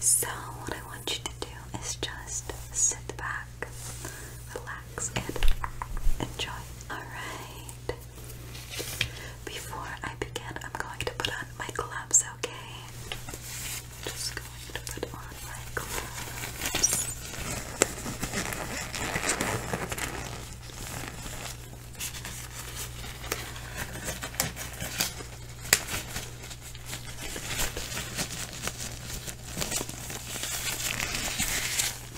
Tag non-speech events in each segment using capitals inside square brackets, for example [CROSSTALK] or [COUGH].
So, what I want you to do is just sit back relax, and enjoy. Alright. Before I begin, I'm going to put on my gloves, okay? Just going to put on my gloves.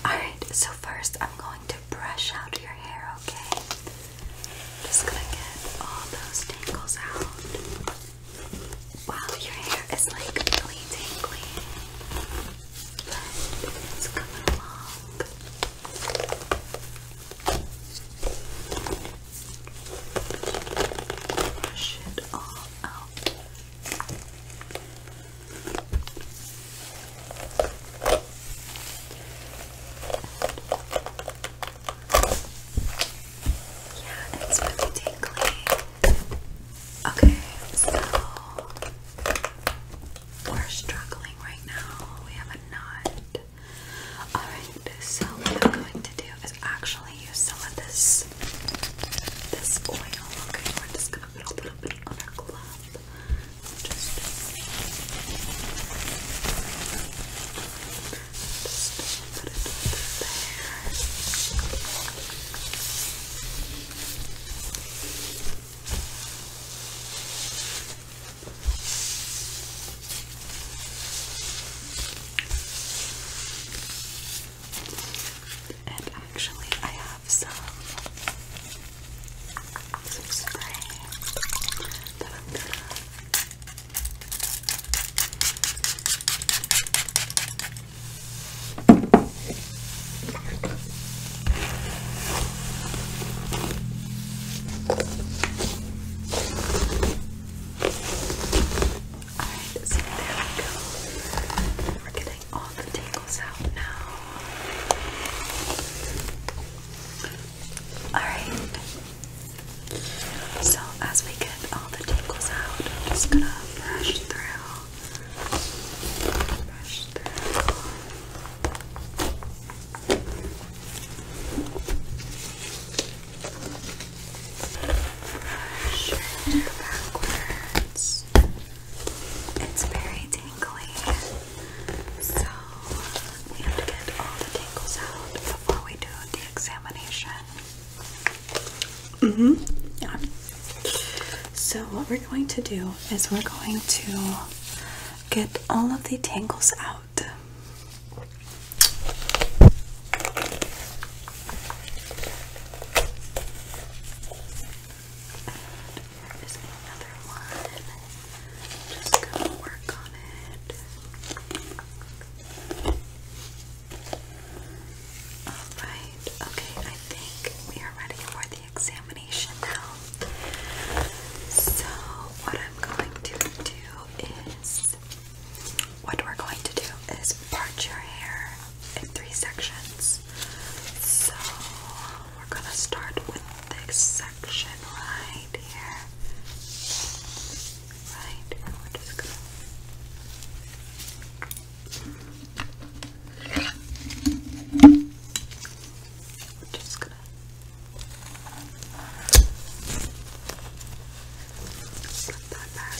Alright, so first I'm going to brush out your hair, okay? Just gonna get all those tangles out. Wow, your hair is like really tangly. But it's coming along. Brush it all out. Yeah, it's really tingly. Okay, so we're struggling right now. We have a knot. Alright, so what i going to do actually use some of this this oil. Okay, we're just gonna put a little bit on our glove. Just, just put it there. And actually, I have some, some spray that I'm gonna Alright, so there we go. We're getting all the tangles out now. Alright. So as we get all the tangles out, I'm just gonna brush through. Brush through shoulder backwards. It's very tingly, so we have to get all the tingles out before we do the examination. hmm So what we're going to do is we're going to get all of the tangles out. And another one. Just gonna work on it. Alright, okay, I think we are ready for the examination now. So, what I'm going to do is, what we're going to do is part your hair in three sections. So we're gonna start with this section right here. Right, and we're just gonna we're just gonna Put that back.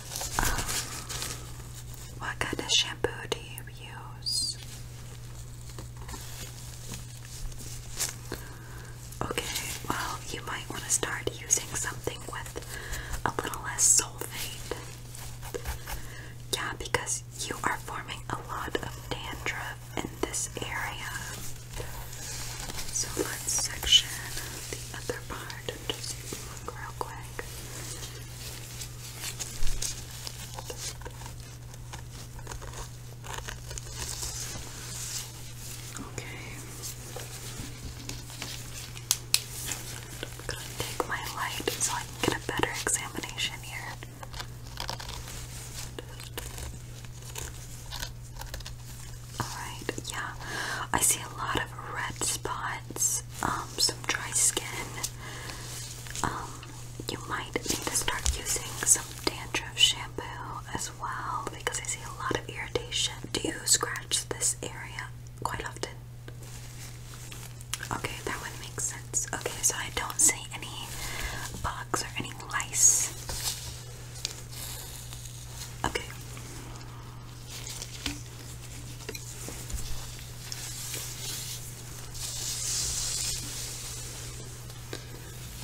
Um, what kind of shampoo do you use? Okay, well, you might want to start using something with a little less sulfate. Yeah, because you are forming a lot of dandruff in this area. So let's section the other part and just look real quick. Okay. I'm gonna take my light so I can get a better examination here. Alright, yeah. I see a lot of red spots, um, some dry skin. Um, you might need to start using some dandruff shampoo as well because I see a lot of irritation. Do you scratch this area quite often? Okay, that would make sense. Okay, so I don't see any bugs or any lice. Okay.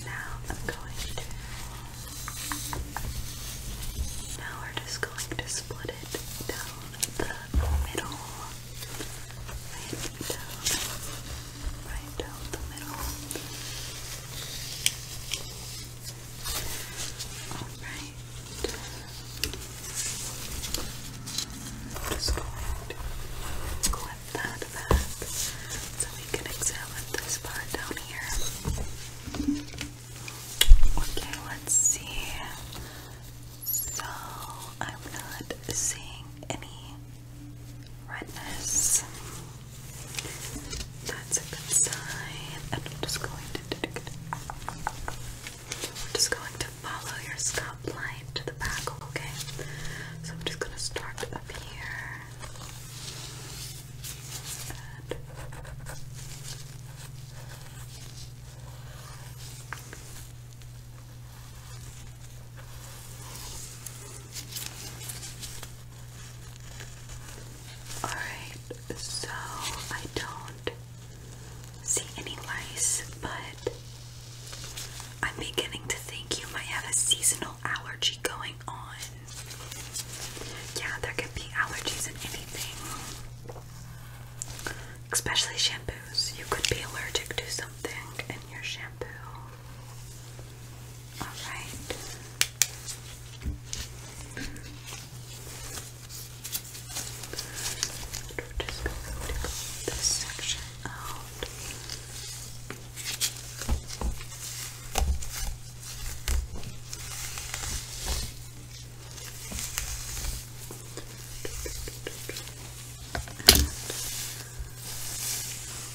Now I'm going to. Now we're just going to split it down the middle. Right down. Right down the middle. Alright right. I'm just going clip that back so we can examine this part down here. Okay, let's see. So I'm not seeing any redness. That's a good sign. And I'm just going to just going to follow your scalp line to the back, okay? So I'm just gonna start up here. Alright, so I don't see any lice, but I'm beginning to think you might have a seasonal allergy going on. Yeah, there could be allergies in anything, especially shampoos. You could be allergic to something in your shampoo. Alright. And we're just going to comb this section out.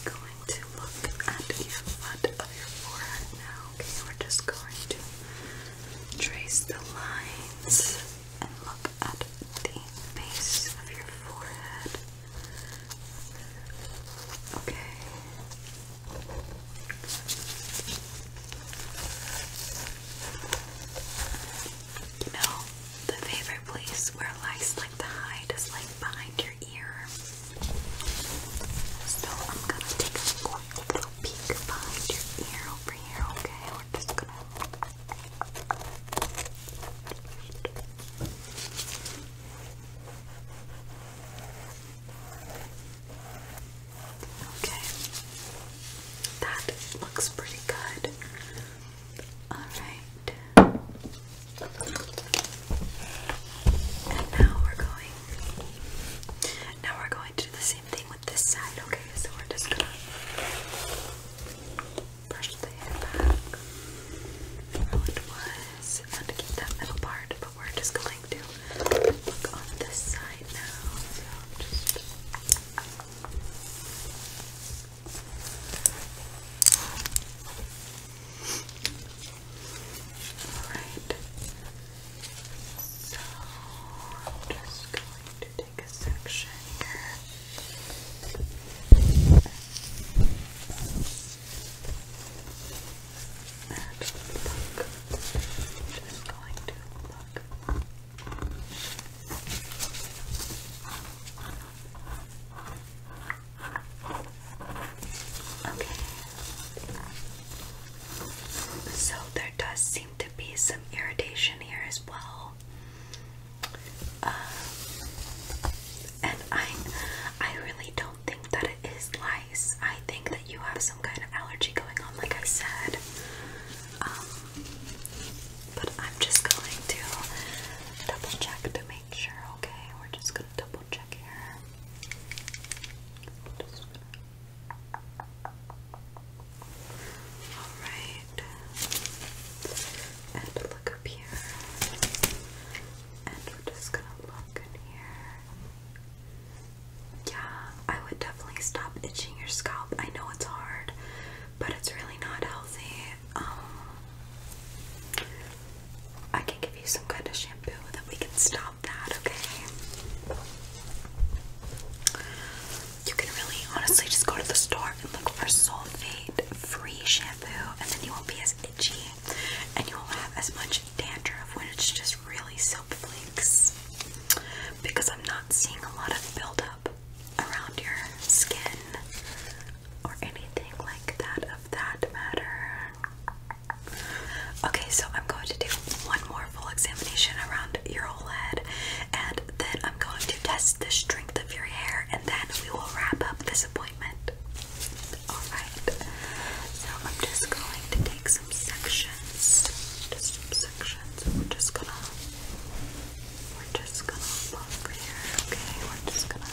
going to look at your front of your forehead now. Okay, we're just going to Trace the lines and look at the base of your forehead. Okay. You know, the favorite place where lice like to hide is like behind your ear. So I'm gonna take a quick peek behind your ear over here, okay? We're just gonna. Okay. That looks pretty good. Alright. And now we're going. Now we're going to do the thing with this side, okay? So we're just gonna brush the hair back how it was keep that middle part, but we're just going to look on this side now. Alright, so I'm just going to take a section here. And pluck. Just going to pluck. Okay. So there does seem to be some irritation here as well. Uh, and I, I really don't think that it is lice. I think that you have some kind of allergy going on, like I said. Um, but I'm just going to double check to make sure. Okay, we're just gonna double check here. Alright. And look up here. And we're just gonna look in here. Yeah, I would definitely stop itching your scalp. I know it's hard, but it's really not healthy. Um I can give you some kind of shampoo that we can stop that, okay? You can really honestly just go to the store and look for sulfate free shampoo, and then you won't be as itchy and you won't have as much dandruff when it's just really soap flakes because I'm not seeing a lot of buildup around your skin or anything like that of that matter. Okay, so I'm going to do one more full examination around your whole head, and then I'm going to test the strength of your hair, and then we will wrap up this appointment. Alright, so I'm just going to take some sections. Just some sections. We're just gonna. We're just gonna okay? We're just gonna.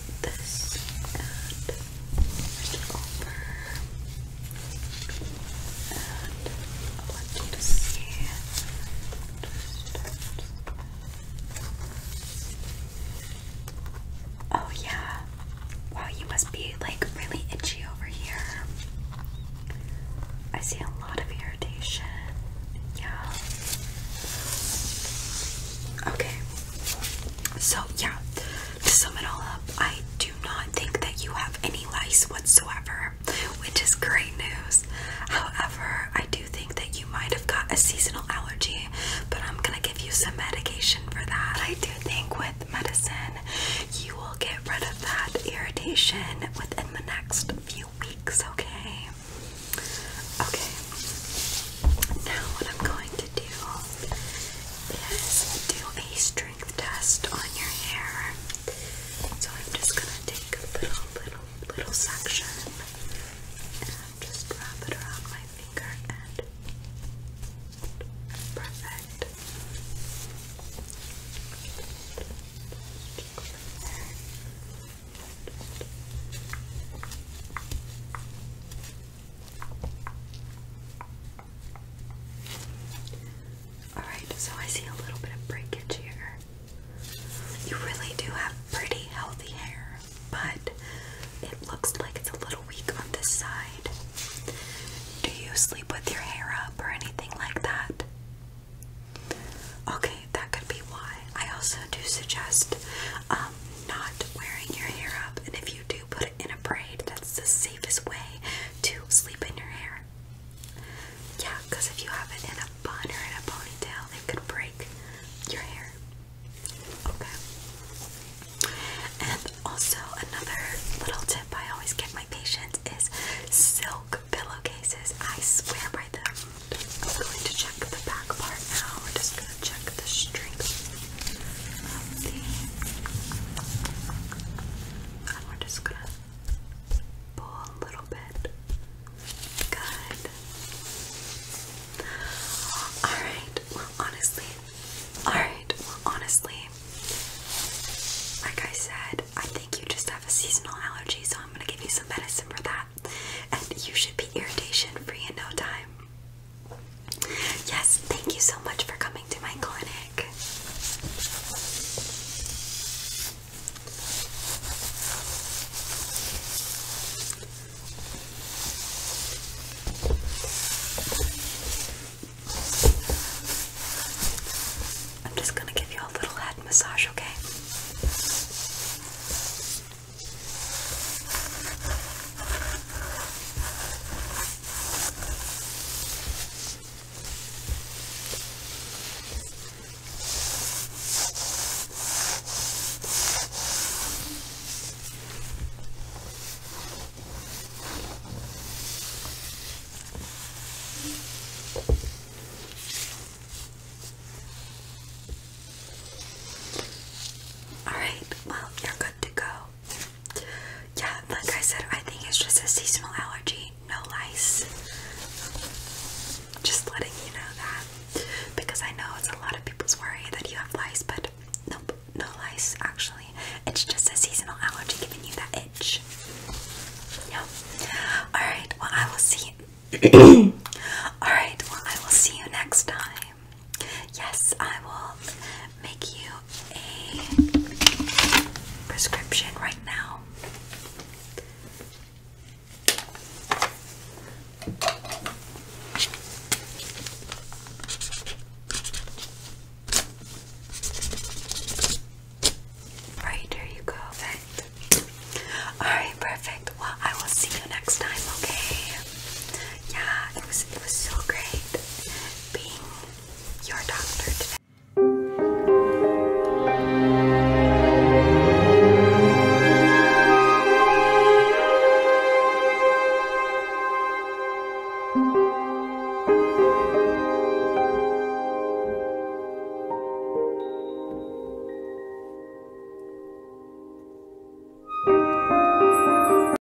this and bring and I want you to see oh yeah wow you must be like really itchy over here I see a lot of irritation yeah okay so, yeah, to sum it all up, I do not think that you have any lice whatsoever, which is great news. However, I do think that you might have got a seasonal allergy, but I'm gonna give you some medication for that. I do think with medicine, you will get rid of that irritation within the next few weeks, okay? Okay. Now what I'm going to do is do a strength test on your hair. So I'm just gonna take a little, little, little section and just wrap it around my finger and perfect. There. Alright, so I see a little bit of breakage here. You really do have pretty healthy hair, but it looks like it's a little weak on this side. Do you sleep with your hair up or anything like that? Okay, that could be why. I also do suggest um, not wearing your hair up, and if you do, do put it in a braid. That's the safest way to sleep in your hair. Yeah, because if you have it in a bun or in a ponytail, it could break your hair. Okay. And also, another little tip I always give my patients is silk pillowcases. I swear by them. I'm going to check the back part now check the strength of the. And we're just gonna pull a little bit. Good. Alright, well, honestly, alright, well, honestly, like I said, I think you just have a seasonal allergy, so I'm gonna give you some medicine for that. And you should be irritation free in no time. Yes, thank you so much for coming to my clinic. I'm just going to give you a little head massage, okay? All right, well, you're good to go yeah, like I said, I think it's just a seasonal allergy, no lice. Just letting you know that. Because I know it's a lot of people's worry that you have lice, but nope, no lice actually. It's just a seasonal allergy giving you that itch. Yeah. Alright, well I will see you. [CLEARS THROAT] Alright, well I will see you next time. Yes, I will make you a prescription right now. Right, there you go. Perfect. Alright, perfect. Well, I will see you next time, okay? Yeah, it was it was so great being your doctor today.